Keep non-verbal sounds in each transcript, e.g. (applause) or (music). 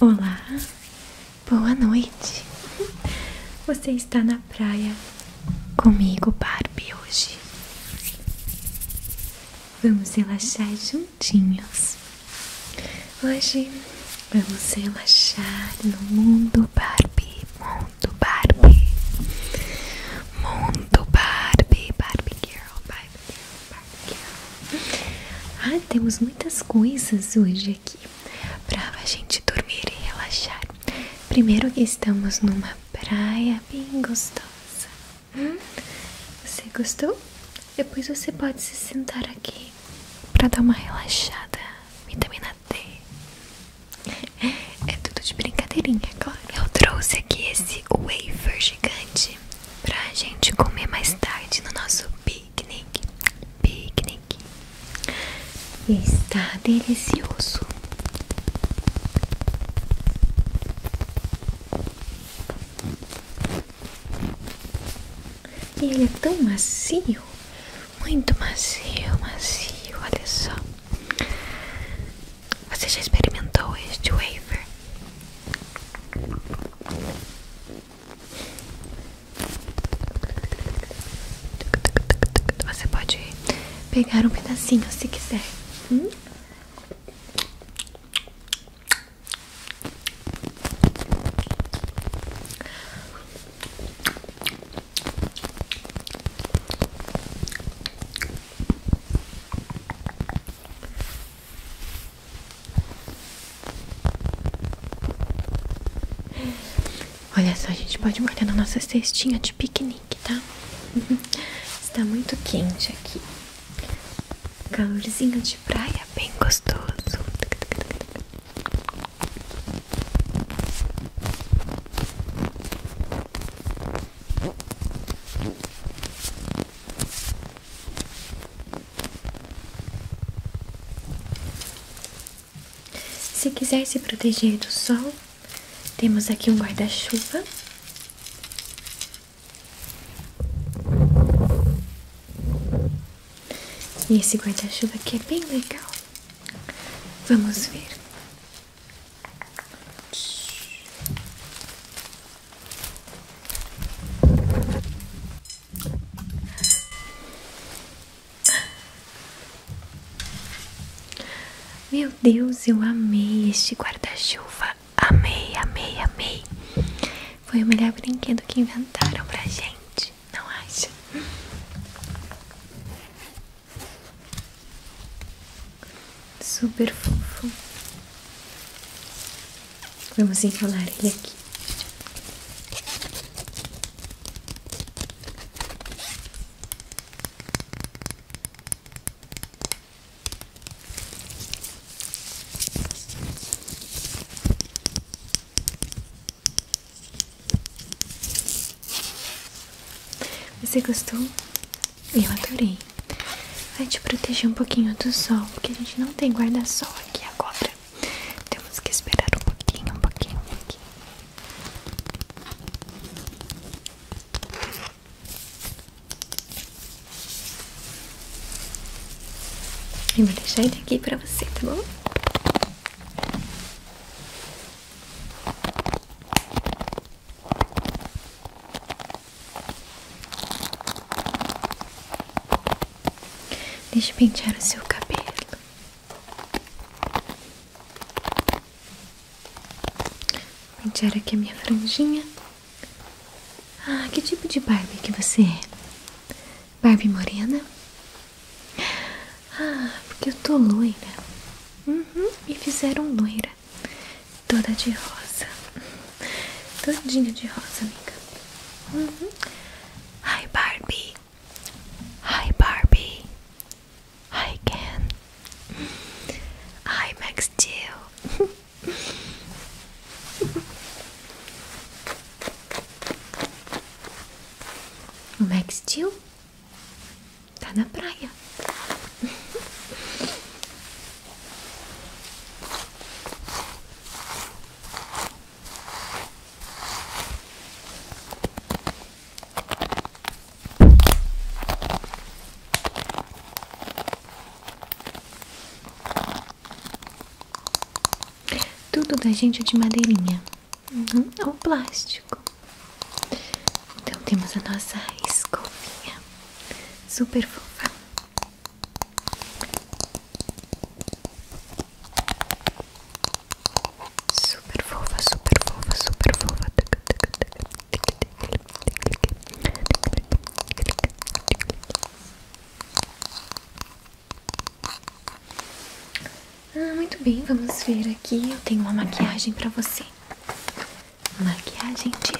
Olá, boa noite. Você está na praia comigo, Barbie, hoje. Vamos relaxar juntinhos. Hoje vamos relaxar no mundo Barbie, mundo Barbie, mundo Barbie, Barbie Girl, Barbie ah, temos muitas coisas hoje aqui para a gente dormir e relaxar. Primeiro estamos numa praia bem gostosa. Hum? Você gostou? Depois você pode se sentar aqui para dar uma relaxada. Vitamina D. É tudo de brincadeirinha, claro. Eu trouxe aqui esse wafer gigante pra gente comer mais tarde no nosso Picnic, piquenique. Está delicioso. ele é tão macio, muito macio, macio. Olha só. Você já experimentou este wafer? Você pode pegar um pedacinho se quiser. Hum? Olha só, a gente pode molhar na nossa cestinha de piquenique, tá? (laughs) Está muito quente aqui. Calorzinho de praia, bem gostoso. Se quiser se proteger do sol, temos aqui um guarda-chuva. E esse guarda-chuva aqui é bem legal. Vamos ver. Meu Deus, eu amei este guarda-chuva. Amei, amei, amei. Foi o melhor brinquedo que inventaram pra gente, não acha? Super fofo. Vamos enrolar ele aqui. Você gostou? Eu adorei. Vai te proteger um pouquinho do sol, porque a gente não tem guarda-sol aqui agora. Temos que esperar um pouquinho, um pouquinho, aqui e vou deixar ele aqui para você, tá bom? Deixa eu pentear o seu cabelo. Pentear aqui a minha franjinha. Ah, que tipo de Barbie que você é? Barbie morena? Ah, porque eu tô loira. Uhum, me fizeram loira. Toda de rosa. Todinha de rosa, amiga. Uhum. Hi, Barbie. Hi, Barbie. Hi, Ken. Hi, Max Steel. Max Steel tá na praia. Tudo da gente é de madeirinha não uhum. é ou plástico. Então temos a nossa escovinha super fofa. Super fofa, super fofa, super fofa. Ah, muito bem, vamos ver aqui. Eu tenho uma maquiagem pra você. Maquiagem de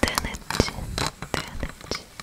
Donut, Donut,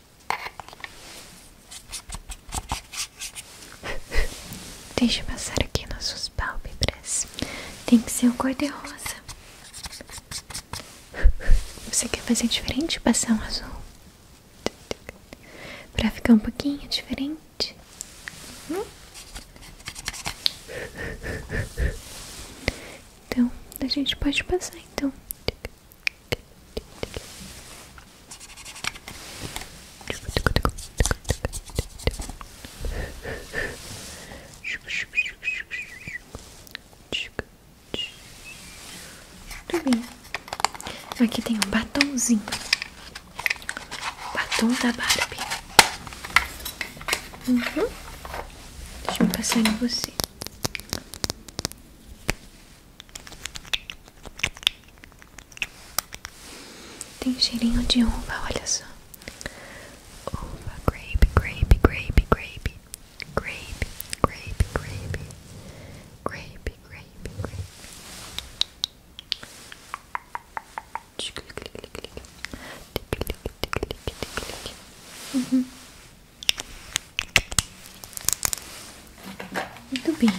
(laughs) Deixa eu passar aqui nas suas pálpebras. Tem que ser o cor de rosa. (laughs) Você quer fazer diferente? Passar um azul? Pra ficar um pouquinho diferente? Hum? (laughs) Então, a gente pode passar então. Muito bem. Então, aqui tem um batomzinho. Batom da Barbie. Uhum. Deixa eu passar em você. Tem cheirinho de uva, olha só. Uva, grape, grape, grape, grape. Grape, grape, grape. Grape, grape, grape. Uhum. Muito bem.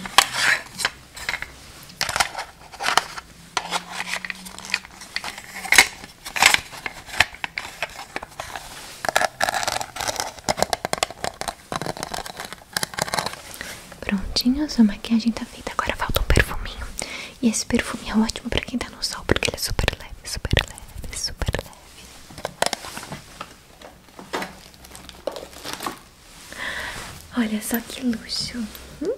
Prontinho, a maquiagem tá feita. Agora falta um perfuminho. E esse perfume é ótimo pra quem tá no sol, porque ele é super leve, super leve, super leve. Olha só que luxo. Hum?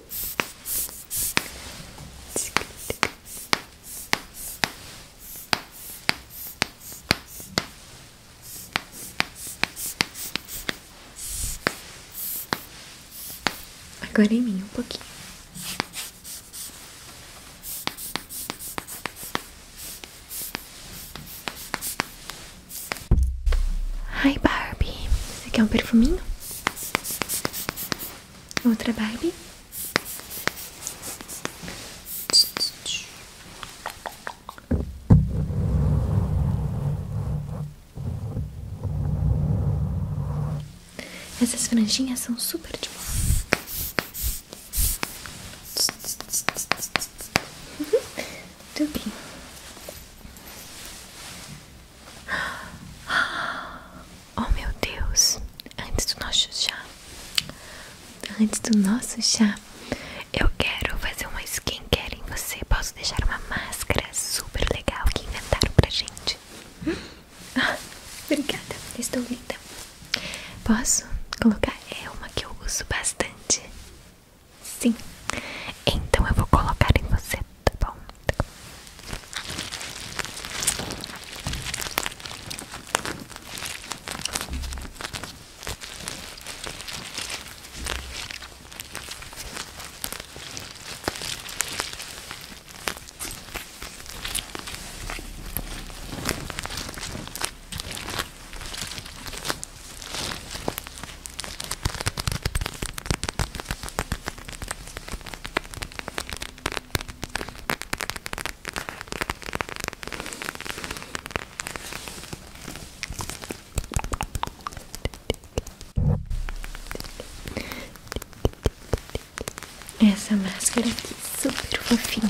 Agora em mim um pouquinho. Ai, Barbie. Você quer um perfuminho? Outra Barbie? Essas franjinhas são super de boa. Muito (gasps) Oh meu Deus! Antes do nosso chá, antes do nosso chá, eu quero fazer uma skincare em você. Posso deixar uma máscara super legal que inventaram pra gente? (gasps) obrigada, estou linda. Posso colocar? É uma que eu uso bastante. Sim. Então eu vou colocar em você, tá bom? Essa máscara aqui, é super fofinha.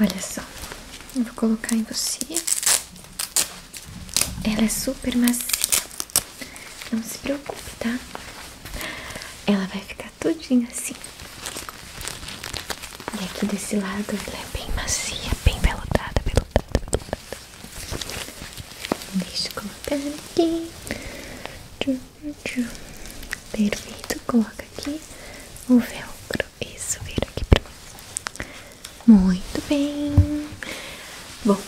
Olha só, vou colocar em você. Ela é super macia. Não se preocupe, tá? Ela vai ficar todinha assim. E aqui desse lado ela é bem macia, bem veludada, veludada, veludada. Deixa eu colocar aqui. Perfeito, coloca aqui o velcro. Isso, vira aqui pra mim. Muito bem. Bom,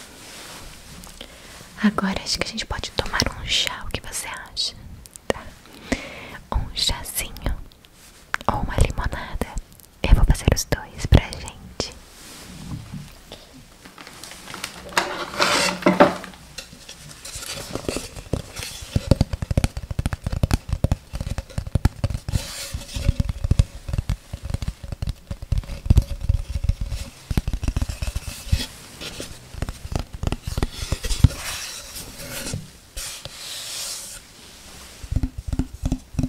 agora acho que a gente pode tomar um chá. O que você acha? Tá. Um chazinho ou uma limonada. Eu vou fazer os dois pra gente.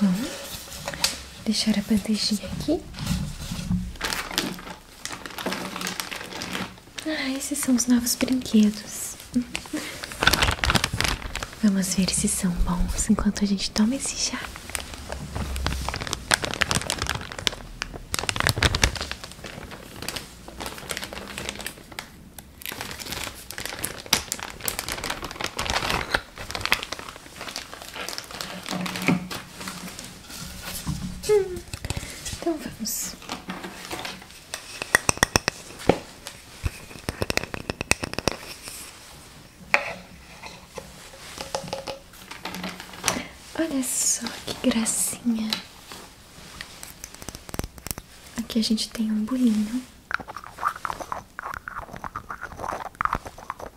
Vamos deixar a bandejinha aqui. Ah, esses são os novos brinquedos. (laughs) Vamos ver se são bons enquanto a gente toma esse chá então vamos. Olha só que gracinha. Aqui a gente tem um bolinho.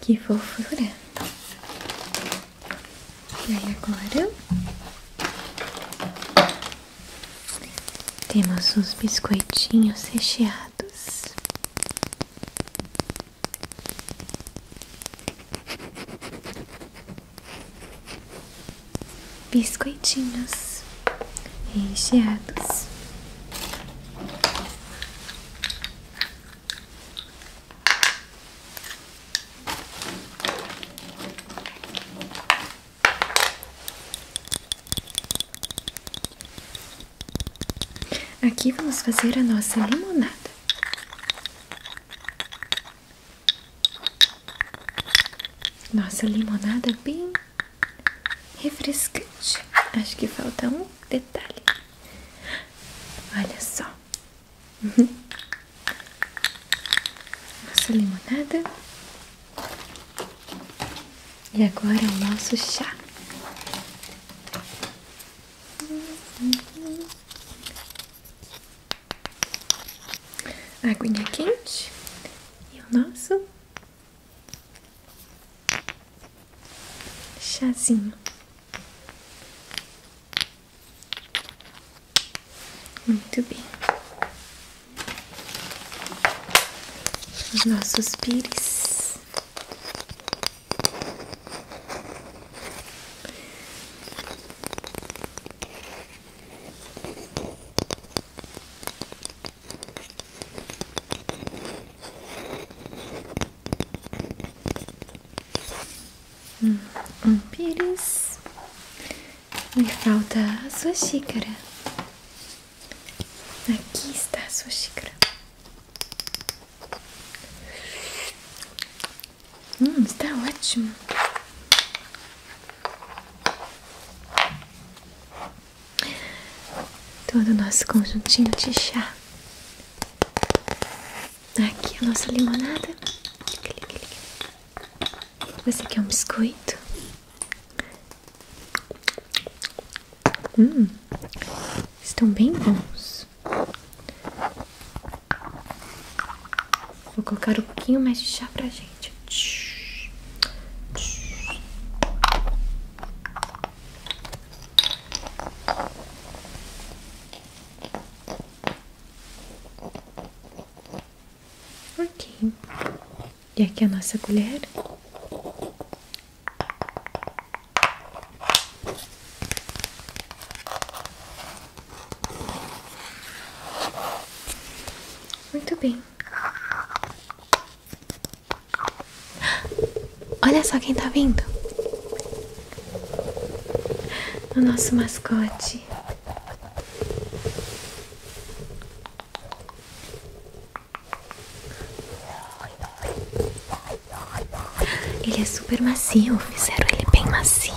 Que fofura! E agora temos os biscoitinhos recheados. Biscoitinhos recheados. Aqui vamos fazer a nossa limonada. Nossa limonada bem refrescante. Acho que falta um detalhe. Olha só. (laughs) Nossa limonada. E agora o nosso chá. Aguinha quente e o nosso chazinho. Muito bem. Os nossos pires. Hum, pires. Me falta a sua xícara. Aqui está a sua xícara. Hum, está ótimo todo o nosso conjuntinho de chá. Aqui a nossa limonada. Você quer um biscoito? Hum, estão bem bons. Vou colocar um pouquinho mais de chá pra gente. Ok. E aqui a nossa colher. Muito bem. Olha só quem está vindo. O nosso mascote. Ele é super macio, fizeram ele bem macio.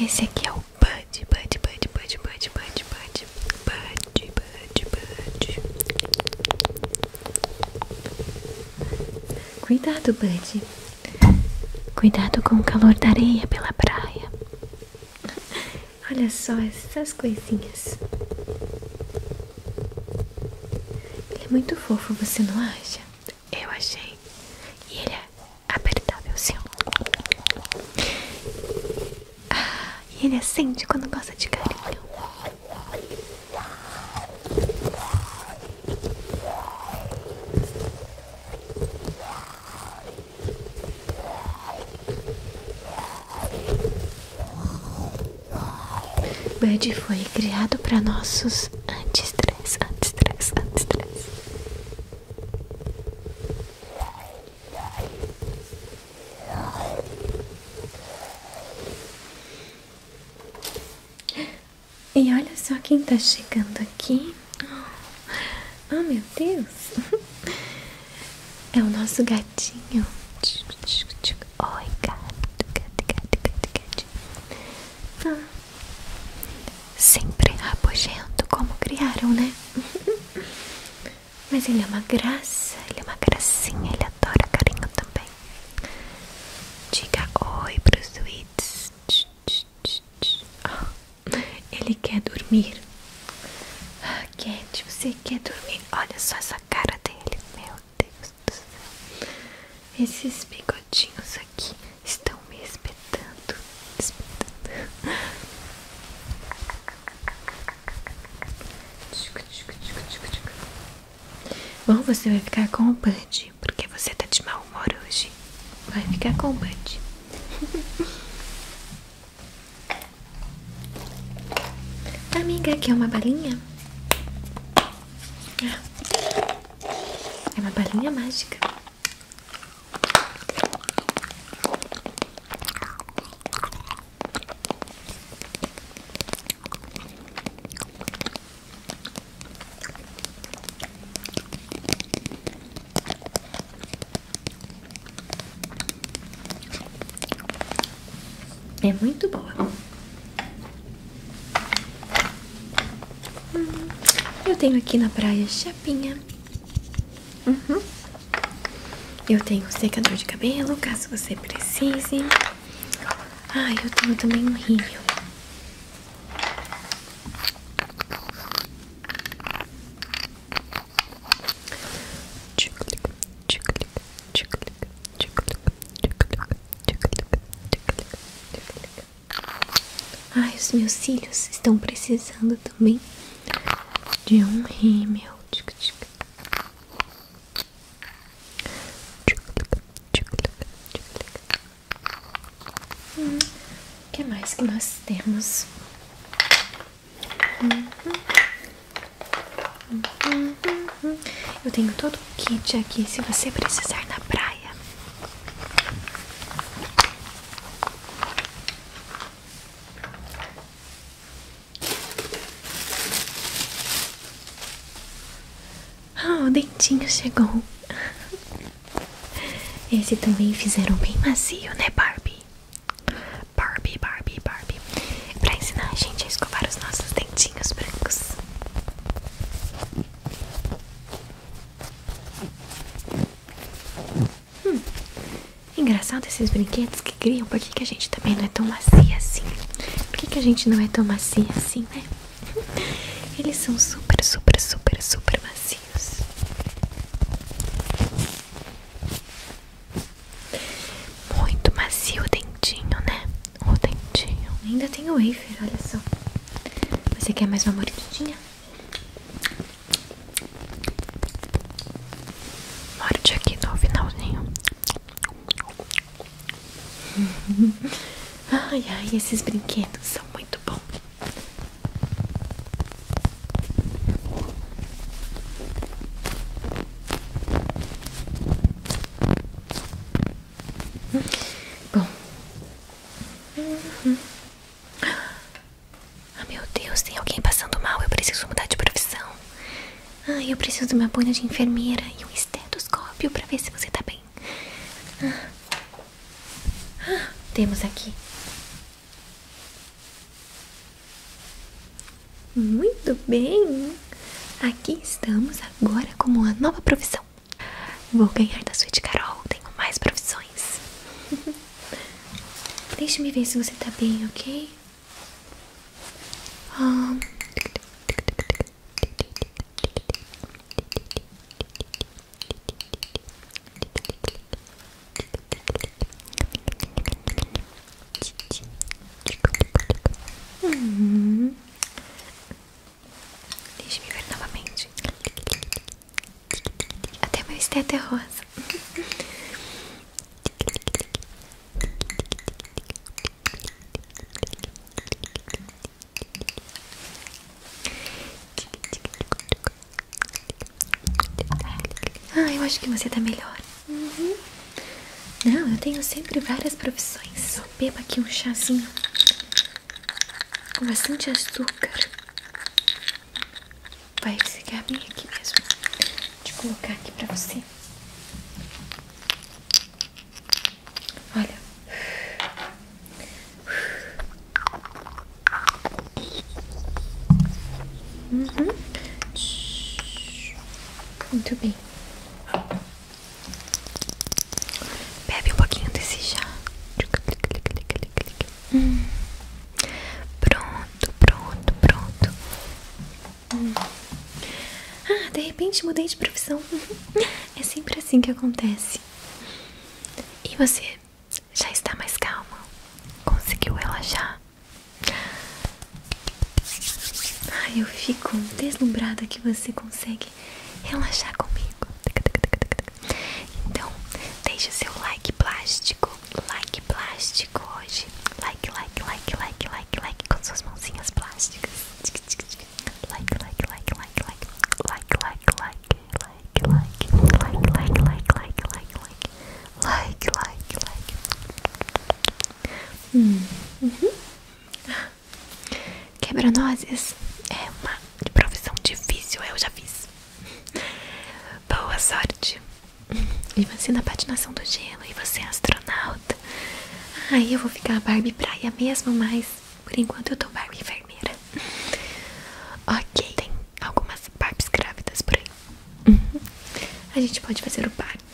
Esse aqui é o Bud, Bud, Bud, Bud, Bud, Bud, Bud, Bud, Bud, Bud. Cuidado, Bud. Cuidado com o calor da areia pela praia. Olha só essas coisinhas. Ele é muito fofo, você não acha? Eu achei. E ele é apertável, sim. Ah, e ele acende quando gosta de carinho. Bud foi criado para nossos anti-stress, anti-stress, anti-stress. E olha só quem está chegando aqui. Ah, oh, meu Deus! (laughs) É o nosso gatinho. Oi, gato, gato, gato, gato, gato. Ah, sempre rabugento, como criaram, né? (laughs) Mas ele é uma graça, ele é uma gracinha, ele adora carinho também. Diga oi pros tweets. Oh, ele quer dormir. Ah, Cat, você quer dormir? Olha só essa cara dele. Meu Deus do céu. Esses bigodinhos aqui estão me espetando. Espetando. Bom, você vai ficar com o Bud, porque você tá de mau humor hoje. Vai ficar com o Bud. (laughs) Amiga, quer uma balinha? Ah. É uma balinha mágica. É muito boa. Hum, eu tenho aqui na praia chapinha. Uhum. Eu tenho secador de cabelo, caso você precise. Ai, ah, eu tenho também um rímel. Ai, ah, os meus cílios estão precisando também de um rímel. Hum, que mais que nós temos? Eu tenho todo o kit aqui se você precisar na praia. Ah, o dentinho chegou. Esse também fizeram bem macio, né, Barbie? Barbie, Barbie, Barbie Pra ensinar a gente a escovar os nossos dentinhos brancos Hum, engraçado esses brinquedos que criam Por que, que a gente também não é tão macia assim? Por que, que a gente não é tão macia assim, né? (laughs) Eles são super, super, super, super macios muito macio o dentinho, né? O dentinho. Ainda tem o wafer, olha só. Você quer mais uma mordidinha? Morde aqui no finalzinho. (laughs) ai, ai, esses brinquedos são muito bons. Bom. Ah, meu Deus, tem alguém passando mal. Eu preciso mudar de profissão. Ah, eu preciso de uma bolha de enfermeira e um estetoscópio para ver se você está bem. Ah. Ah, temos aqui muito bem! Aqui estamos agora com uma nova profissão. Vou ganhar da suíte Carol, tenho mais profissões. (laughs) deixe me ver se você tá bem, ok? Um... Ah. Uhum. Deixa eu me ver novamente. Até meu esteto é rosa. Ah, eu acho que você tá melhor. Uhum. Não, eu tenho sempre várias profissões. Só beba aqui um chazinho com bastante açúcar. Vai ficar bem aqui mesmo. Deixa eu colocar aqui pra você. Olha. Uhum. Muito bem. Bebe um pouquinho desse chá. Pronto, pronto, pronto. Ah, de repente mudei de profissão. (laughs) é sempre assim que acontece. E você já está mais calma? Conseguiu relaxar? Ai, eu fico deslumbrada que você consegue relaxar comigo. Então, deixa o seu like plástico, like plástico hoje. Like, like, like, like, like, like com suas mãozinhas plásticas. like, like, like, like, like, like, like, like, like, like, like, like, like, like, like, like, like, like, like, like, like, like. Hum. Uhum. Quebra-nozes é uma profissão difícil, eu já fiz. Boa sorte. E você na patinação do gelo, e você é astronauta. Aí eu vou ficar Barbie praia mesmo, mas por enquanto eu tô Barbie enfermeira. Ok, tem algumas Barbies grávidas por aí. A gente pode fazer o parto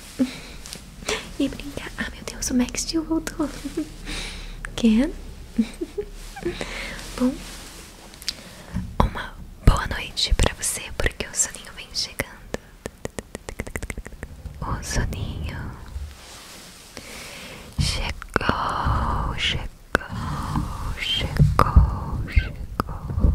e brincar. Ah, meu Deus, o Max de voltou. Quem? Bom, uma boa noite pra você, porque o soninho vem chegando. O soninho chegou, chegou, chegou, chegou.